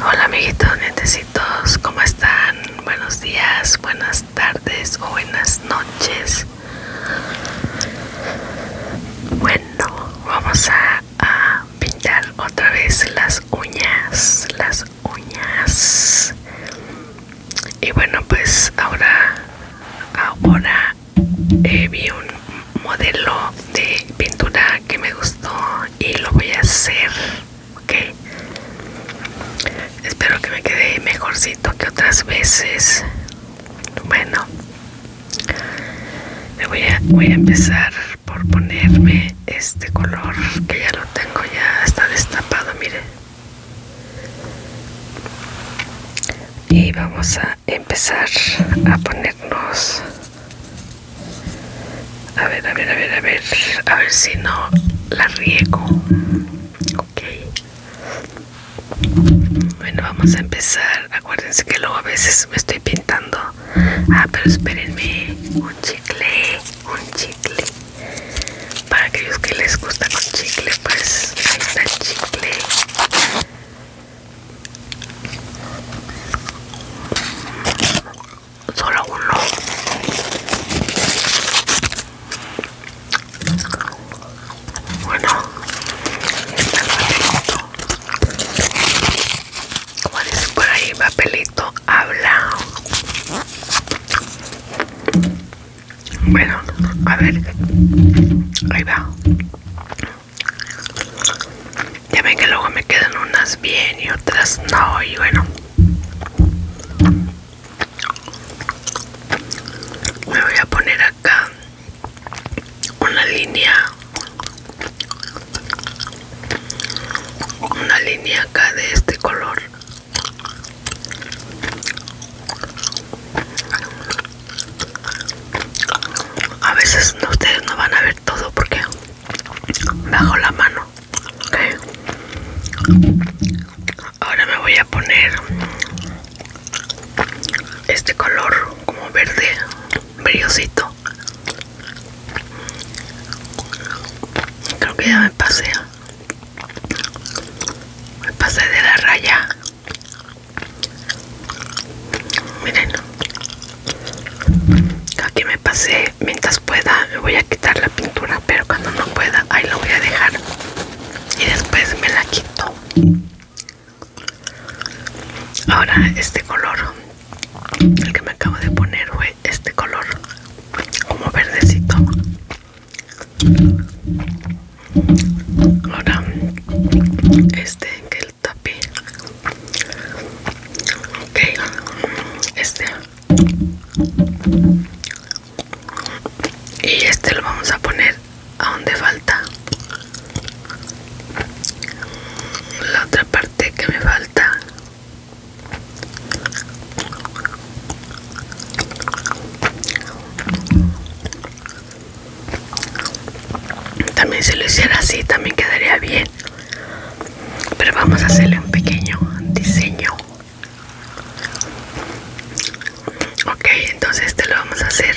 Hola amiguitos nietecitos, ¿cómo están? Buenos días, buenas tardes o buenas noches. Bueno, vamos a, pintar otra vez las uñas, las uñas. Y bueno, pues ahora, ahora eh, vi un modelo de pintura que me gusta pues y lo voy a hacer ok espero que me quede mejorcito que otras veces bueno voy a, voy a empezar por ponerme este color que ya lo tengo ya está destapado mire y vamos a empezar a ponernos a ver, a ver, a ver, a ver. A ver si no la riego. Ok. Bueno, vamos a empezar. Acuérdense que luego a veces me estoy pintando. Ah, pero espérenme. Un chicle. Un chicle. Para aquellos que les gusta con chicle, pues ahí está el chicle solo uno bueno está papelito como dicen por ahí papelito habla bueno a ver ahí va ya ven que luego me quedan unas bien y otras no, y bueno. Me voy a poner acá una línea. Una línea acá de este color. A veces ustedes no van a ver todo porque bajo la mano okay. ahora me voy a poner este color como verde brillosito creo que ya me pasé me pasé de la raya miren Aquí me pasé, mientras pueda me voy a quitar la pintura, pero cuando no pueda, ahí la voy a dejar y después me la quito. Ahora este color, el que me acabo de poner fue este color, como verdecito. Ahora, este que Tapi, ok este y este lo vamos a poner a donde falta la otra parte que me falta también si lo hiciera así también quedaría bien pero vamos a hacerle un pequeño diseño ok entonces este lo vamos a hacer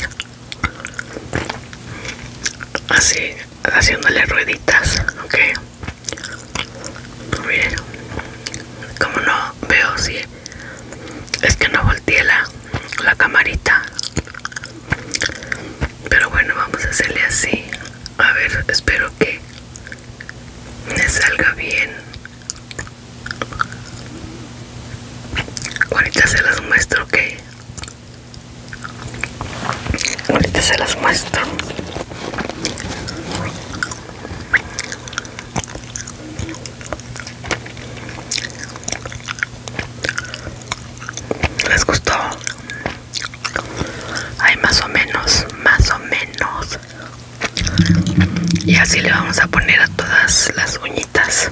así haciéndole rueditas ok bien pues como no veo si es que no volteé la, la camarita pero bueno vamos a hacerle así a ver espero que me salga bien ahorita se las muestro ok ahorita se las muestro les gustó hay más o menos, más o menos. Y así le vamos a poner a todas las uñitas.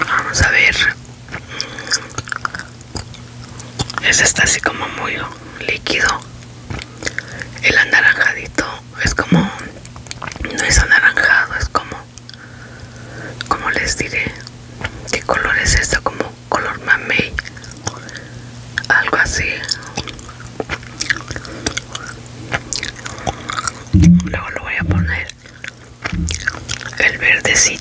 Vamos a ver. Ese está así como muy líquido. El anaranjadito es como... No es anaranjado, es como como les diré qué color es esta como color mamey algo así luego lo voy a poner el verdecito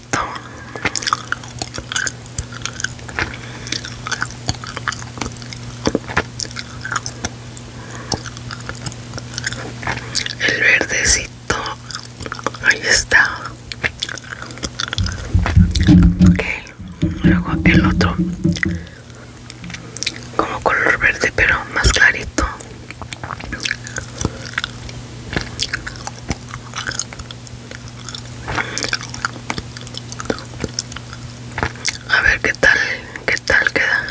el verdecito ahí está luego el otro como color verde pero más clarito a ver qué tal qué tal queda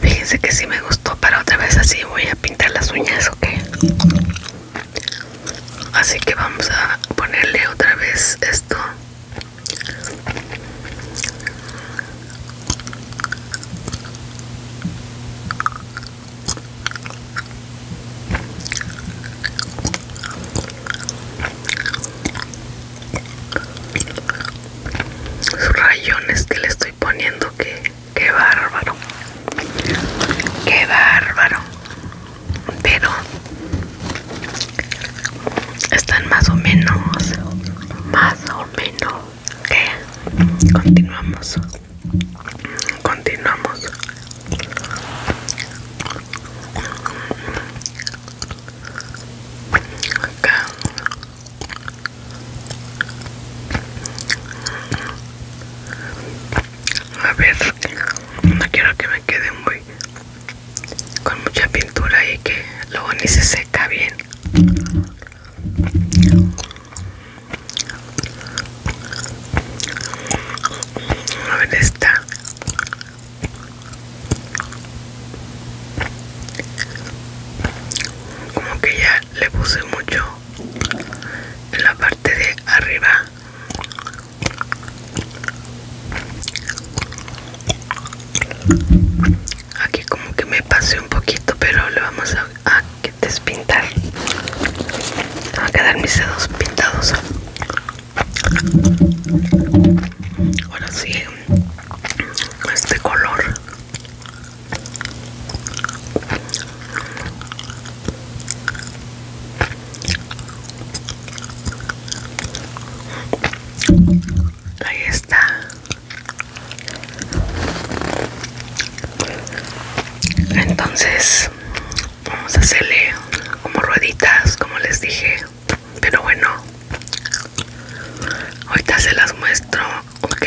Fíjense que si me gustó Para otra vez así voy a pintar las uñas Ok Así que vamos a ponerle otra vez esto sus rayones que le estoy poniendo que qué bárbaro qué bárbaro pero están más o menos más o menos que continuamos continuamos a ver no quiero que me quede muy con mucha pintura y que luego ni se seca bien a ver esta como que ya le puse mucho en la parte de arriba aquí como que me pasé un poquito pero le vamos a, despintar a quedar mis dedos pintados ahora sí este este color ahí está entonces vamos a hacerle como rueditas como les dije pero bueno ahorita se las muestro ok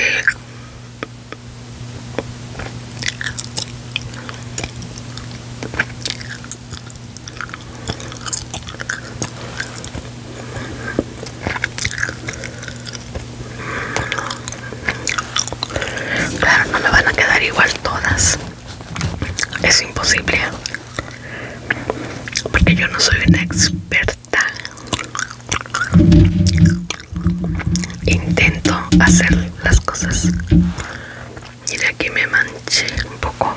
Claro, no me van a quedar igual todas. Es imposible porque yo no soy una experta intento hacer las cosas de aquí me manché un poco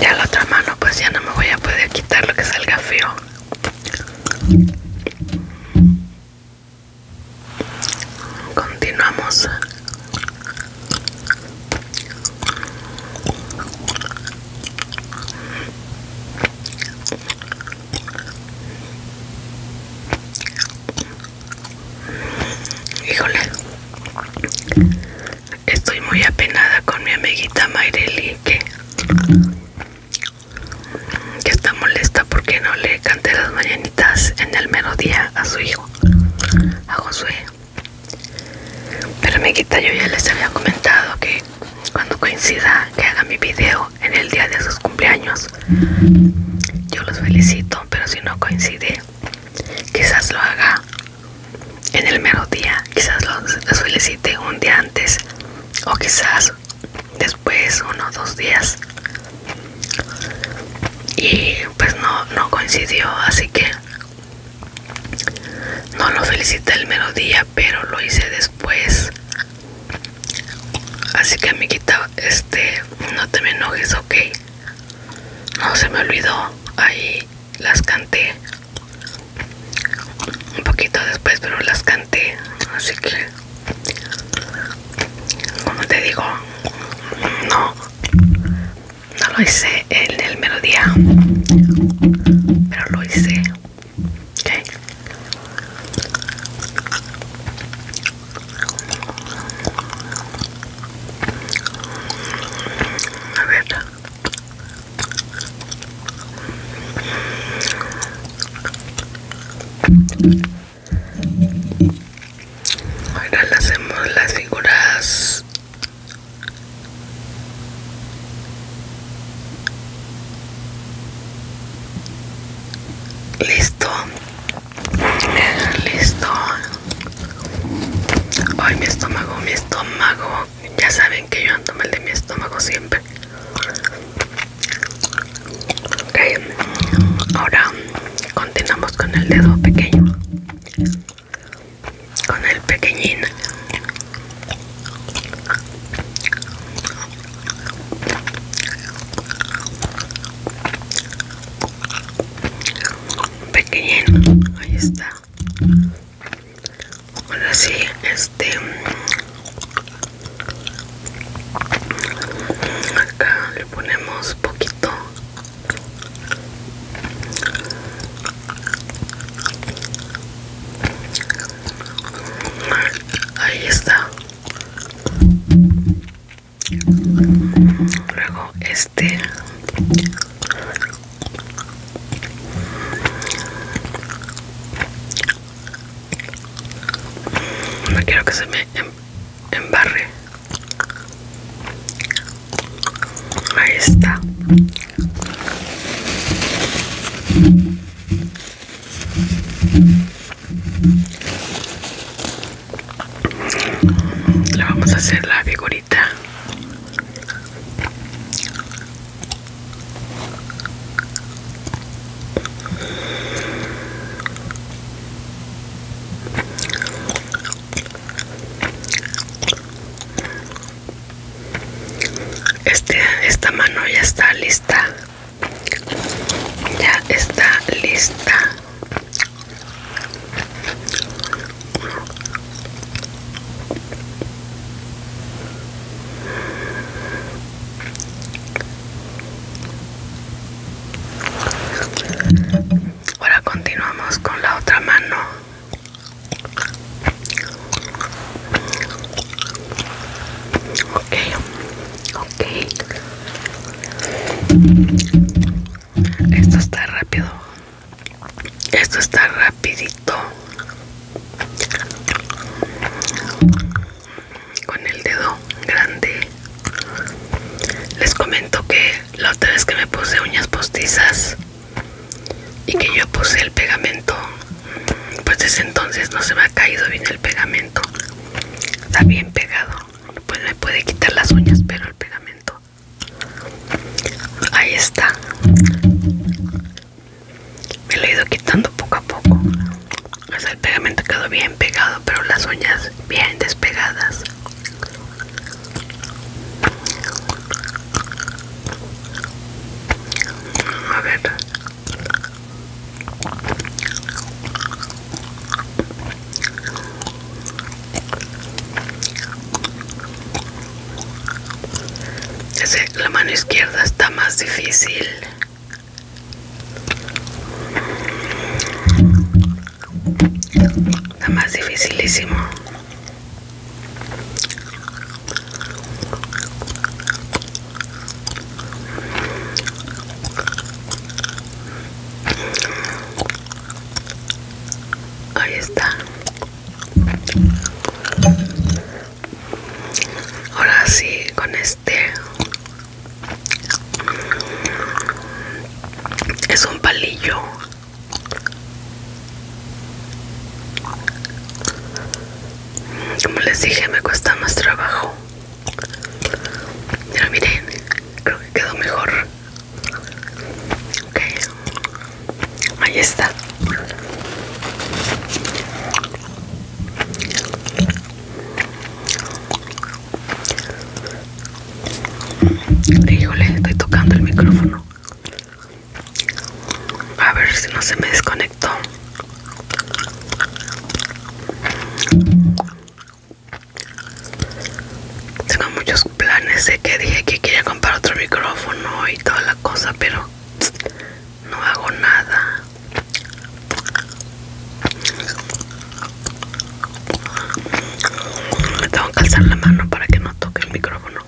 ya la otra mano pues ya no me voy a poder quitar lo que salga feo continuamos Híjole, estoy muy apenada con mi amiguita Mayreli que, está molesta porque no le canté las mañanitas en el mero día a su hijo, a Josué. Pero amiguita, yo ya les había comentado que cuando coincida que haga mi video en el día de sus cumpleaños, yo los felicito, pero si no coincide, quizás lo haga en el mero día, quizás los, felicite un día antes o quizás después uno o dos días. Y pues no coincidió, así que no lo felicité el melodía, pero lo hice después. Así que amiguita, este, no te me enojes, ok. No se me olvidó. Ahí las canté. Un poquito después, pero las canté. Así que, como te digo, no no lo hice en el melodía pero lo hice ¿ok? Ahora le hacemos las figuras Listo, listo. Ay, mi estómago, mi estómago. Ya saben que yo ando mal de mi estómago siempre. Ok, ahora continuamos con el dedo pequeño con el pequeñín pequeñín ahí está ahora sí este acá le ponemos poquito Ahí está. Luego este. No quiero que se me em-, embarre. Ahí está. Le vamos a hacer la figurita. Este, esta mano ya está lista. Ya está lista. Ahora continuamos con la otra mano. Ok, ok. Esto está rápido. Esto está rapidito. Con el dedo grande. Les comento que la otra vez que me puse uñas postizas y que yo puse el pegamento, mm, pues desde entonces no se me ha caído bien el pegamento. Está bien pegado. Pues me puede quitar las uñas, pero el pegamento. Ahí está. Me lo he ido quitando poco a poco. O sea, el pegamento quedó bien pegado, pero las uñas bien despegadas. A ver. la mano izquierda está más difícil. Nada más dificilísimo. Ahí está. Ahora sí, con este es un palillo como les dije, me cuesta más trabajo. Pero miren, creo que quedó mejor. Ok, ahí está. Híjole, estoy tocando el micrófono. A ver si no se me desconectó. Tengo muchos planes. Sé que dije que quería comprar otro micrófono y toda la cosa, pero no hago nada. Tengo que alzar la mano para que no toque el micrófono.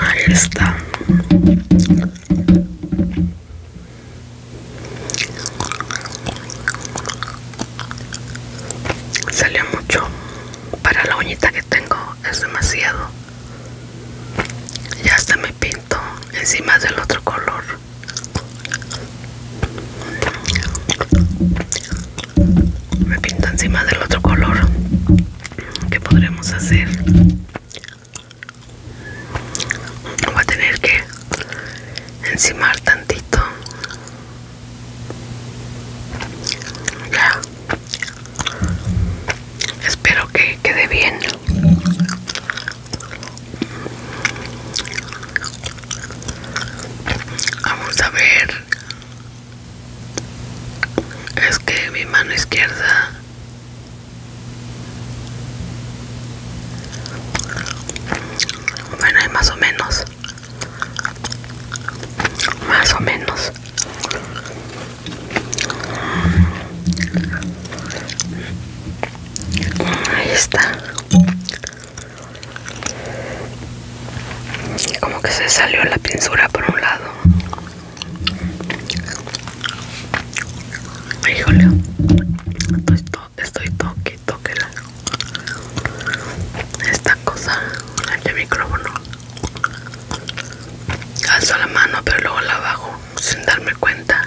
Ahí está. Salió mucho. Para la uñita que tengo es demasiado. Ya hasta me pinto encima del otro color me pinto encima del otro color que podremos hacer Va a tener que encimar tantito ya espero que quede bien Vamos a ver. Es que mi mano izquierda bueno, es más o menos. Más o menos. Ahí está. Como que se salió la pinzura por un lado. Híjole. Estoy, estoy toque, toque la... Esta cosa, el micrófono. Alzo la mano pero luego la bajo sin darme cuenta.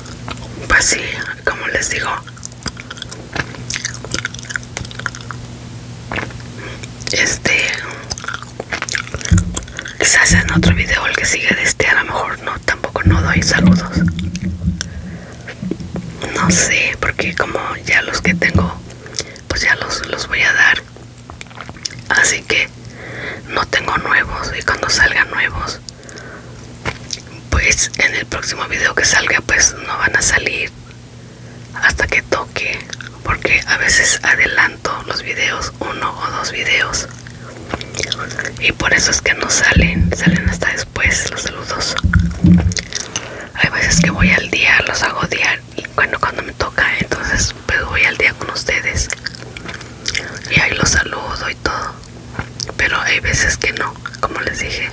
Pues sí, como les digo este quizás en otro video el que sigue de este a lo mejor no tampoco no doy saludos no sé porque como ya los que tengo pues ya los, los voy a dar así que no tengo nuevos y cuando salgan nuevos pues en el próximo video que salga pues no van a salir hasta que toque porque a veces adelanto los videos uno o dos videos y por eso es que no salen salen hasta después los saludos hay veces que voy al día los hago día cuando cuando me toca entonces pues, voy al día con ustedes y ahí los saludo y todo pero hay veces que no como les dije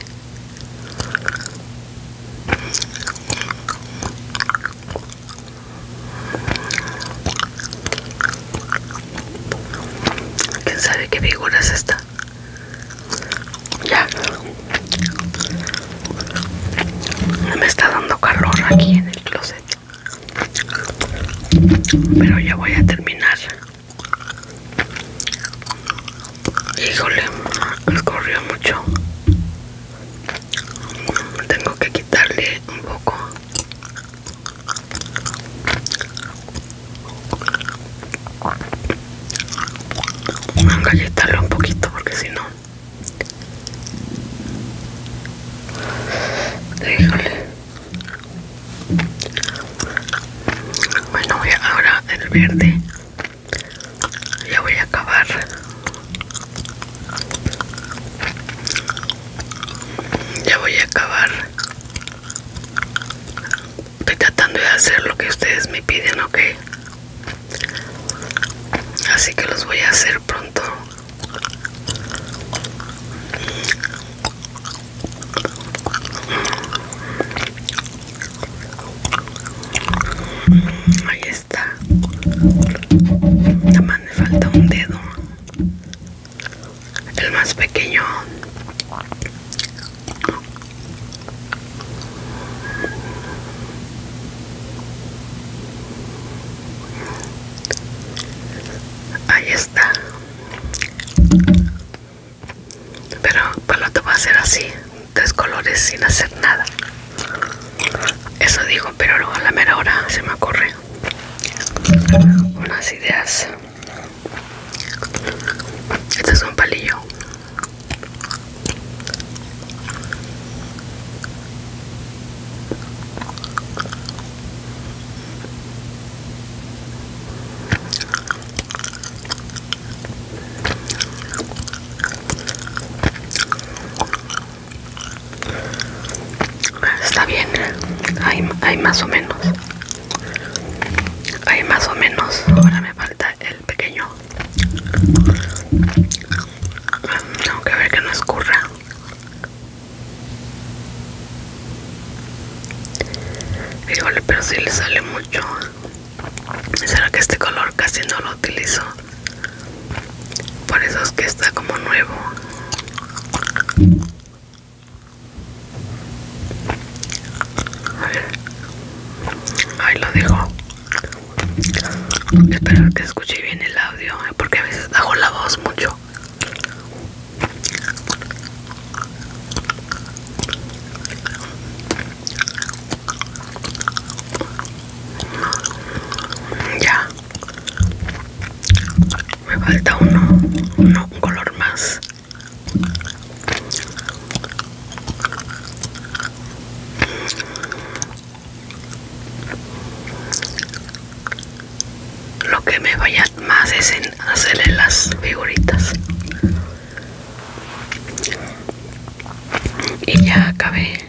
quién sabe qué figura es esta ya me está dando calor aquí en el closet pero ya voy a terminar. Híjole, corrió mucho. Tengo que quitarle un poco. Galletarlo un poquito porque si no. Híjole. Bueno, ahora el verde. Ya voy a acabar. Ya voy a acabar. Estoy tratando de hacer lo que ustedes me piden, ¿ok? Así que los voy a hacer pronto. Ahí está. Nada más me falta un dedo. El más pequeño. Ahí está pero para lo va a ser así tres colores sin hacer nada eso digo pero luego a la mera hora se me ocurre unas ideas este es un palillo pues está bien, hay, más o menos. Hay más o menos. Ahora me falta el pequeño. Tengo que ver que no escurra. Híjole, pero si le sale mucho. Será que este color casi no lo utilizo. Por eso es que está como nuevo. Ahí lo dejo Espero que escuche bien el audio, ¿eh? porque a veces hago la voz mucho. Ya. Me falta uno, un color más lo que me vaya más es en hacerle las figuritas y ya acabé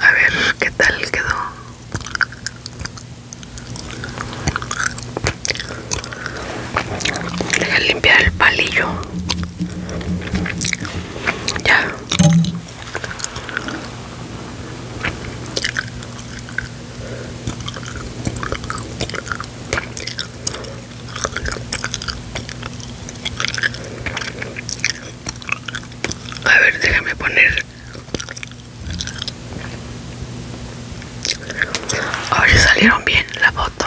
a ver qué tal quedó Deja limpiar el palillo. Ya. A ver, déjame poner a salieron bien la foto.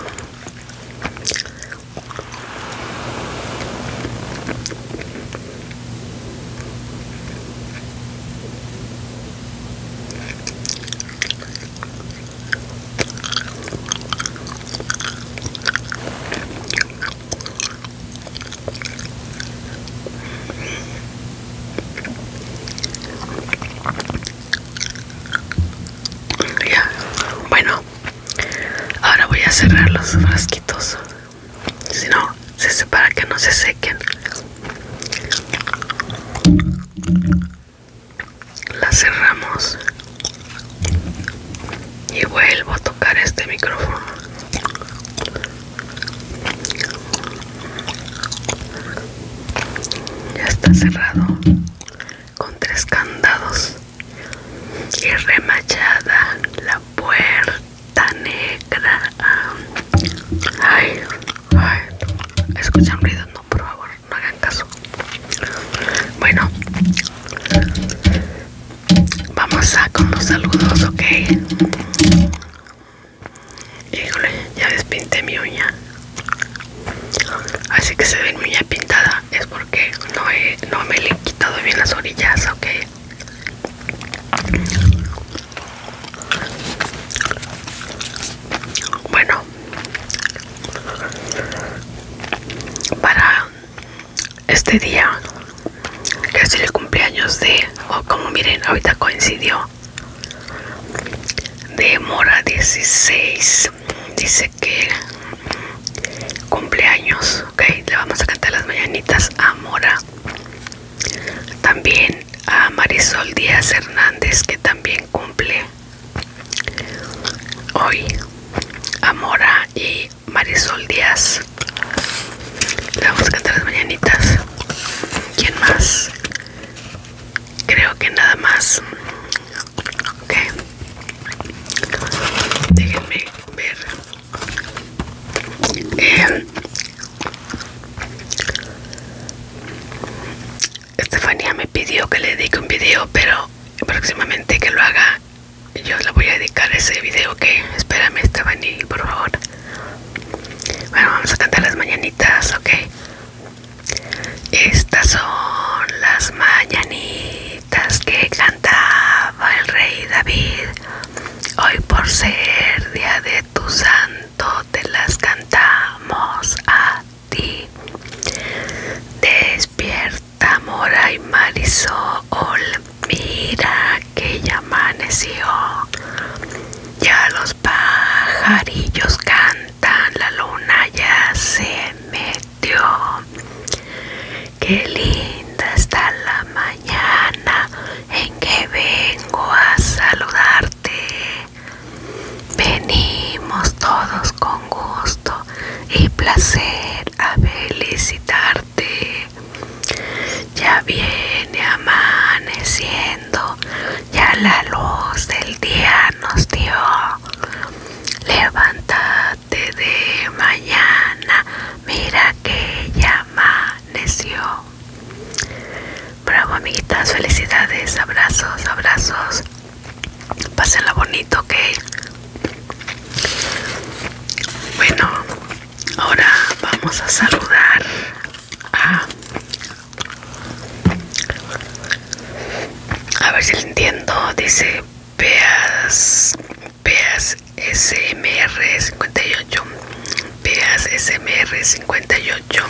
Ya, bueno, ahora voy a cerrar los frasquitos. Si no, se separa que no se sequen. La cerramos y vuelvo a tocar este micrófono ya está cerrado con tres candados y remachada la puerta negra. Ay, ay, escuchan ruido, no, por favor, no hagan caso. Bueno, vamos a con los saludos, ok. Híjole, ya pinté mi uña. Así que se ve mi uña pintada. Es porque no, no me le he quitado bien las orillas, ok. Bueno, para este día que es el cumpleaños de o como miren ahorita coincidió de Mora 16 dice que cumpleaños ok le vamos a cantar las mañanitas a Mora también a Marisol Díaz Hernández que también cumple hoy a Mora y Marisol Díaz la vamos a cantar las mañanitas. ¿Quién más? Creo que nada más. Ok. Déjenme ver. Eh, Estefanía me pidió que le dedique un video, pero próximamente que lo haga, yo le voy a dedicar ese video Ok, espérame Estefanía, por favor. Bueno, vamos a cantar las mañanitas, ok. Estas son las mañanitas que cantaba el rey David. Hoy por ser día de tu santo te las cantamos a ti. Despierta, Mora y Marisol. Mira que ya amaneció. Ya los pajarillos cantan, la luna ya se metió. Qué linda está la mañana en que vengo a saludarte. Venimos todos con gusto y placer a felicitarte ya viene amaneciendo, ya la luz del día nos dio. Levántate de mañana, mira que ya amaneció. Bravo amiguitas, felicidades, abrazos, abrazos. Pásenla bonito, ok. Bueno, Ahora vamos a saludar a... ver si lo entiendo. Dice Peas, Peas SMR 58. Peas SMR 58.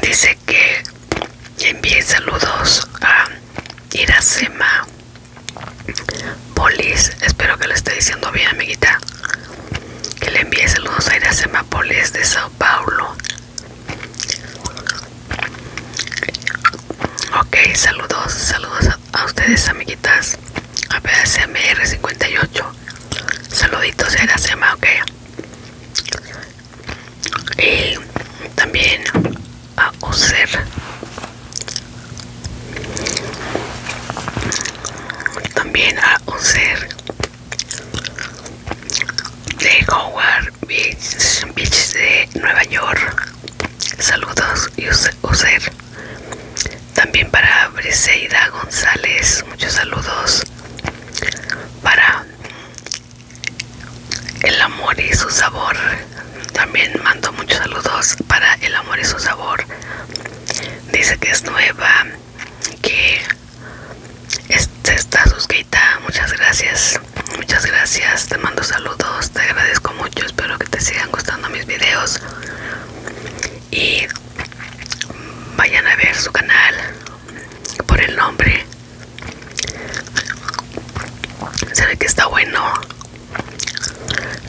Dice que envíe saludos a Iracema Polis, espero que lo esté diciendo bien, amiguita. Que le envíe saludos a Iracema Polis de Sao Paulo. Ok, saludos, saludos a, ustedes, amiguitas. A PSMR58. Saluditos a Iracema, ok. Y también a User también a User de Howard Beach, de Nueva York saludos y User también para Briseida González muchos saludos para el amor y su sabor también mando muchos saludos para El Amor y su Sabor. Dice que es nueva, que está suscrita. Muchas gracias, muchas gracias. Te mando saludos, te agradezco mucho. Espero que te sigan gustando mis videos. Y vayan a ver su canal por el nombre. Se ve que está bueno.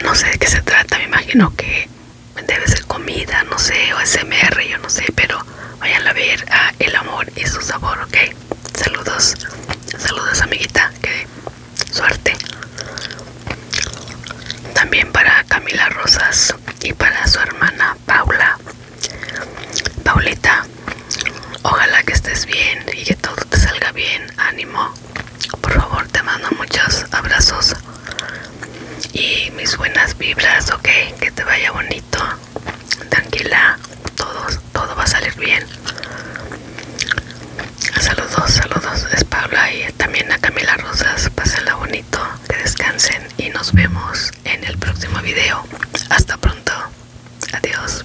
No sé de qué se trata, me imagino que debe ser comida, no sé, o SMR, yo no sé, pero vayan a ver El Amor y su sabor, ¿ok? Saludos, saludos amiguita, que suerte. También para Camila Rosas y para su hermana Paula. Paulita, ojalá que estés bien y que todo te salga bien, ánimo. Por favor, te mando muchos abrazos y mis buenas vibras, ok. Que te vaya bonito, tranquila, todo va a salir bien. Saludos, saludos, es Paula y también a Camila Rosas. Pásenla bonito, que descansen y nos vemos en el próximo video. Hasta pronto, adiós.